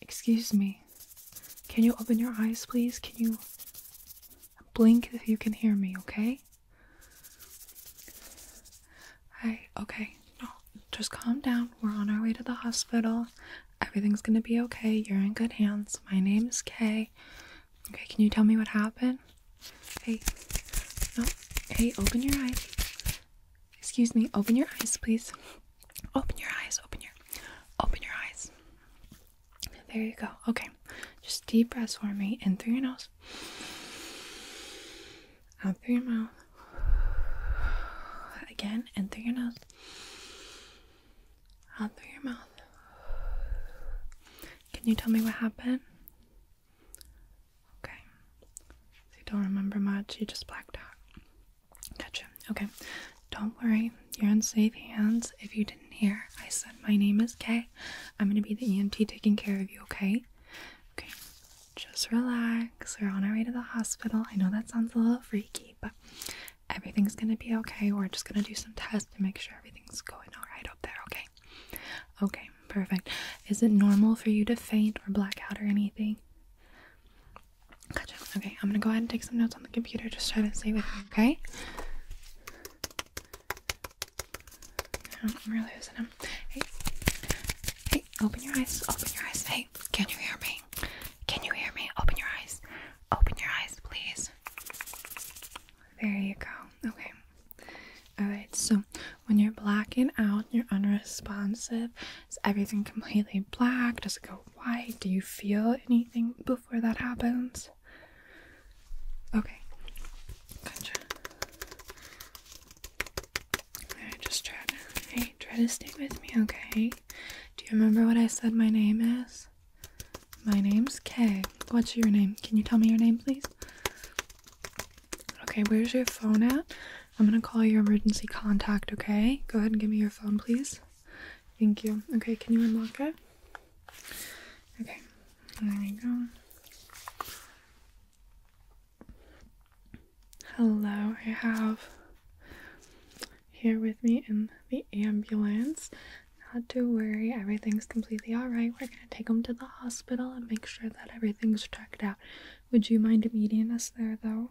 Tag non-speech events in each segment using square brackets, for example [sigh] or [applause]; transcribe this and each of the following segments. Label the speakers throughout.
Speaker 1: Excuse me. Can you open your eyes, please? Can you blink if you can hear me, okay? Hi, okay. No, just calm down. We're on our way to the hospital. Everything's gonna be okay. You're in good hands. My name is Kay. Okay, can you tell me what happened? Hey, no, hey, open your eyes. Excuse me, open your eyes, please. Open your eyes, open your open your eyes. There you go. Okay. Just deep breaths for me in through your nose. Out through your mouth. Again, in through your nose. Out through your mouth. Can you tell me what happened? Okay. you don't remember much, you just blacked out. Gotcha. Okay. Don't worry. You're in safe hands. If you didn't hear, I said my name is Kay. I'm going to be the EMT taking care of you, okay? Okay. Just relax. We're on our way to the hospital. I know that sounds a little freaky, but everything's going to be okay. We're just going to do some tests to make sure everything's going all right up there, okay? Okay, perfect. Is it normal for you to faint or black out or anything? Okay, I'm gonna go ahead and take some notes on the computer. Just try to stay with me, okay? I'm really losing him. Hey, hey, open your eyes. Open your eyes. Hey, can you hear me? Can you hear me? Open your eyes. Open your eyes, please. There you go. Okay. Alright, so when you're blacking out, you're unresponsive, is everything completely black? Does it go white? Do you feel anything before that happens? Okay, gotcha. Alright, just try to, hey, try to stay with me, okay? Do you remember what I said my name is? My name's Kay. What's your name? Can you tell me your name, please? Okay, where's your phone at? I'm gonna call your emergency contact, okay? Go ahead and give me your phone, please. Thank you. Okay, can you unlock it? Okay, there you go. Hello, I have here with me in the ambulance. Not to worry, everything's completely alright. We're gonna take them to the hospital and make sure that everything's checked out. Would you mind meeting us there though?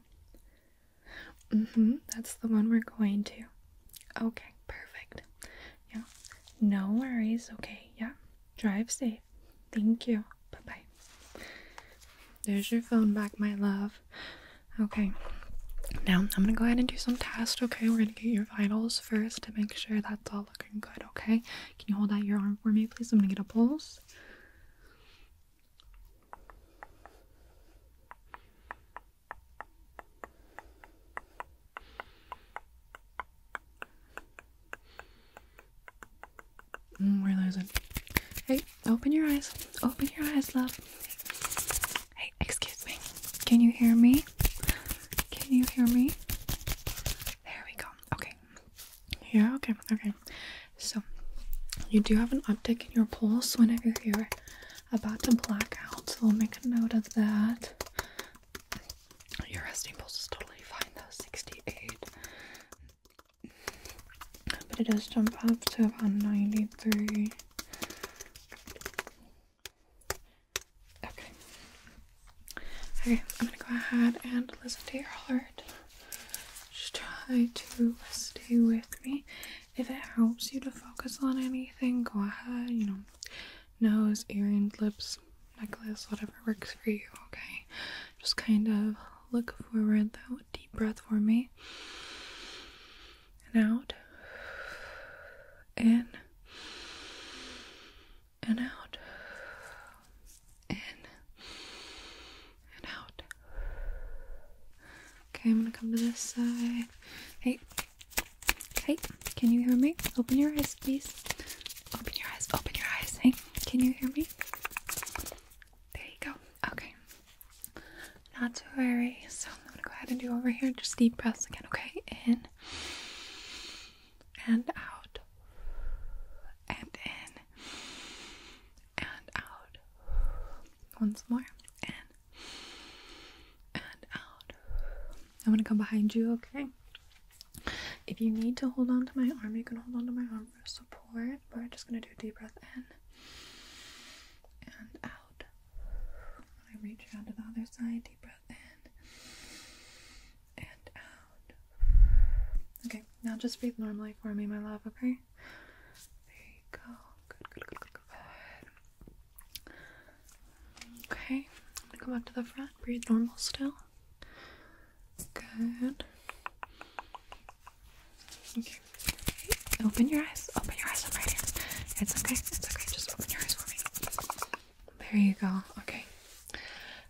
Speaker 1: Mm hmm, that's the one we're going to. Okay, perfect. Yeah, no worries. Okay, yeah, drive safe. Thank you. Bye bye. There's your phone back, my love. Okay, now I'm gonna go ahead and do some tests. Okay, we're gonna get your vitals first to make sure that's all looking good, okay? Can you hold out your arm for me, please? I'm gonna get a pulse. Mm, we're losing. Hey, open your eyes. Open your eyes, love. Hey, excuse me. Can you hear me? Can you hear me? There we go. Okay, yeah, okay, okay. So, you do have an uptick in your pulse whenever you're about to black out, so we'll make a note of that. Your resting pulse is totally fine though, 68. But it does jump up to about 93. Okay. Okay, I'm gonna go ahead and listen to your heart. Just try to stay with me. If it helps you to focus on anything, go ahead, you know, nose, ear, and lips, necklace, whatever works for you, okay? Just kind of look forward though. Deep breath for me. And out. In and out. In and out. Okay, I'm gonna come to this side. Hey, hey, can you hear me? Open your eyes, please. Open your eyes, open your eyes. Hey, can you hear me? There you go. Okay. Not too worry. So I'm gonna go ahead and do over here. Just deep breaths again, okay? In and out and in and out once more in and out I'm gonna come behind you okay if you need to hold on to my arm you can hold on to my arm for support we're just gonna do a deep breath in and out when I reach out to the other side and out. Okay, now just breathe normally for me, my love, okay? There you go. Good, good, good, good, good. Okay, I'm gonna go back to the front. Breathe normal still. Good. Okay. Open your eyes. Open your eyes. I'm right here. It's okay. It's okay. Just open your eyes for me. There you go. Okay.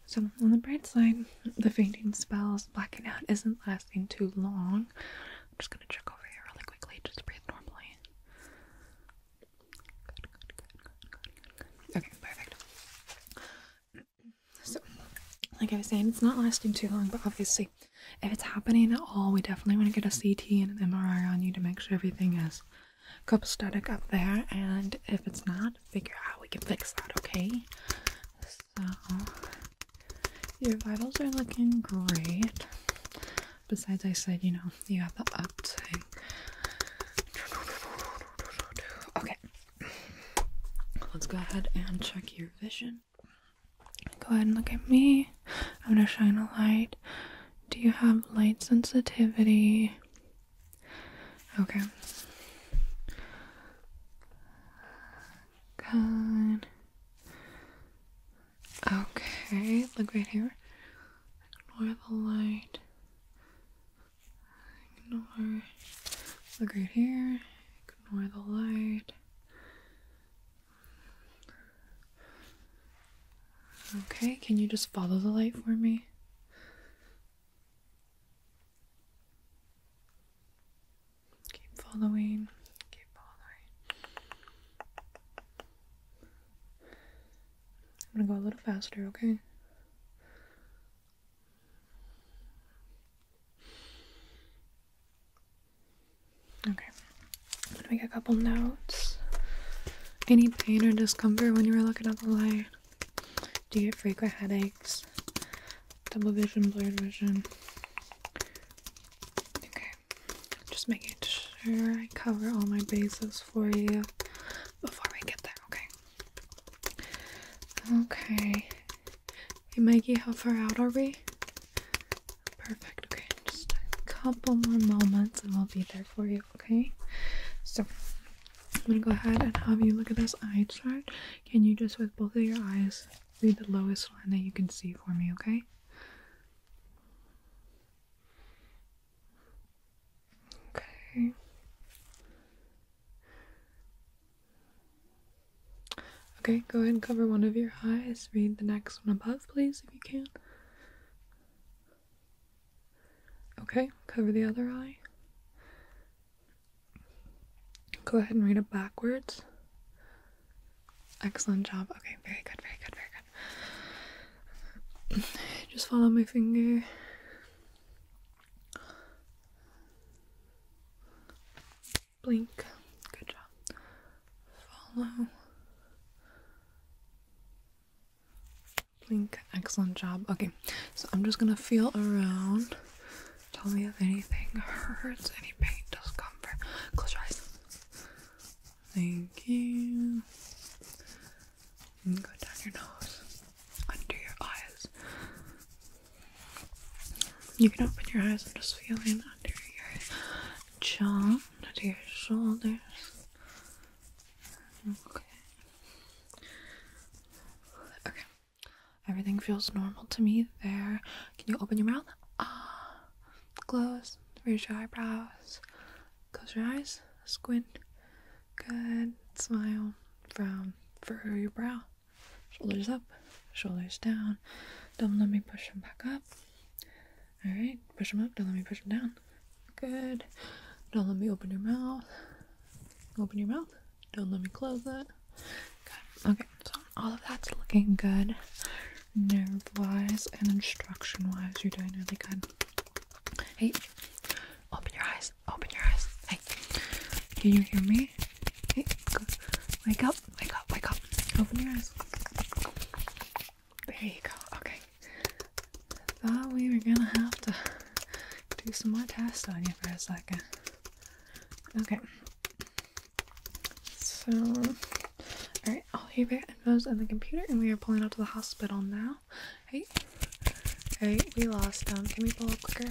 Speaker 1: So, on the bright side, the fainting spells, blacking out isn't lasting too long. just gonna check over here really quickly. Just breathe normally. Okay, perfect. So, like I was saying, it's not lasting too long, but obviously, if it's happening at all, we definitely want to get a CT and an MRI on you to make sure everything is copacetic up there, and if it's not, figure out we can fix that, okay? So, your vitals are looking great. Besides, I said, you know, you have the uptick. Okay. Let's go ahead and check your vision. Go ahead and look at me. I'm gonna shine a light do you have light sensitivity? Okay. Good. Okay, look right here. Ignore the light. Ignore. Look right here. Ignore the light. Okay, can you just follow the light for me? Keep following, keep following. I'm gonna go a little faster, okay? Okay. I'm make a couple notes. Any pain or discomfort when you were looking at the light? Do you get frequent headaches? Double vision, blurred vision? Okay. Just making sure I cover all my bases for you before we get there, okay? Okay. Hey Mikey, how far out are we? Perfect. just a couple more moments and we'll be there for you, okay? So I'm gonna go ahead and have you look at this eye chart. Can you just with both of your eyes read the lowest line that you can see for me, okay? Okay. Okay, go ahead and cover one of your eyes. Read the next one above, please, if you can. Okay, cover the other eye. Go ahead and read it backwards. Excellent job. Okay, very good, very good, very good. [laughs] Just follow my finger. Blink. Good job. Follow. Blink. Excellent job. Okay, so I'm just gonna feel around. Tell me if anything hurts, any pain, discomfort. Close your eyes. Thank you. go down your nose, under your eyes, you can open your eyes. I'm just feeling under your jaw, under your shoulders. Okay. Okay. Everything feels normal to me there. Can you open your mouth? Ah. Close. Raise your eyebrows. Close your eyes. Squint. Good. Smile. Frown. Furrow your brow. Shoulders up, shoulders down. Don't let me push them back up. All right, push them up. Don't let me push them down. Good. Don't let me open your mouth. Open your mouth. Don't let me close that. Good. Okay, so all of that's looking good. Nerve wise and instruction wise, you're doing really good. Hey, open your eyes. Open your eyes. Hey, can you hear me? Okay, Wake up, wake up, wake up. Open your eyes. There you go. Okay. Thought we were gonna have to do some more tests on you for a second. Okay. So, alright, all the info's on the computer, and we are pulling out to the hospital now. Hey, hey, we lost them. Can we pull quicker?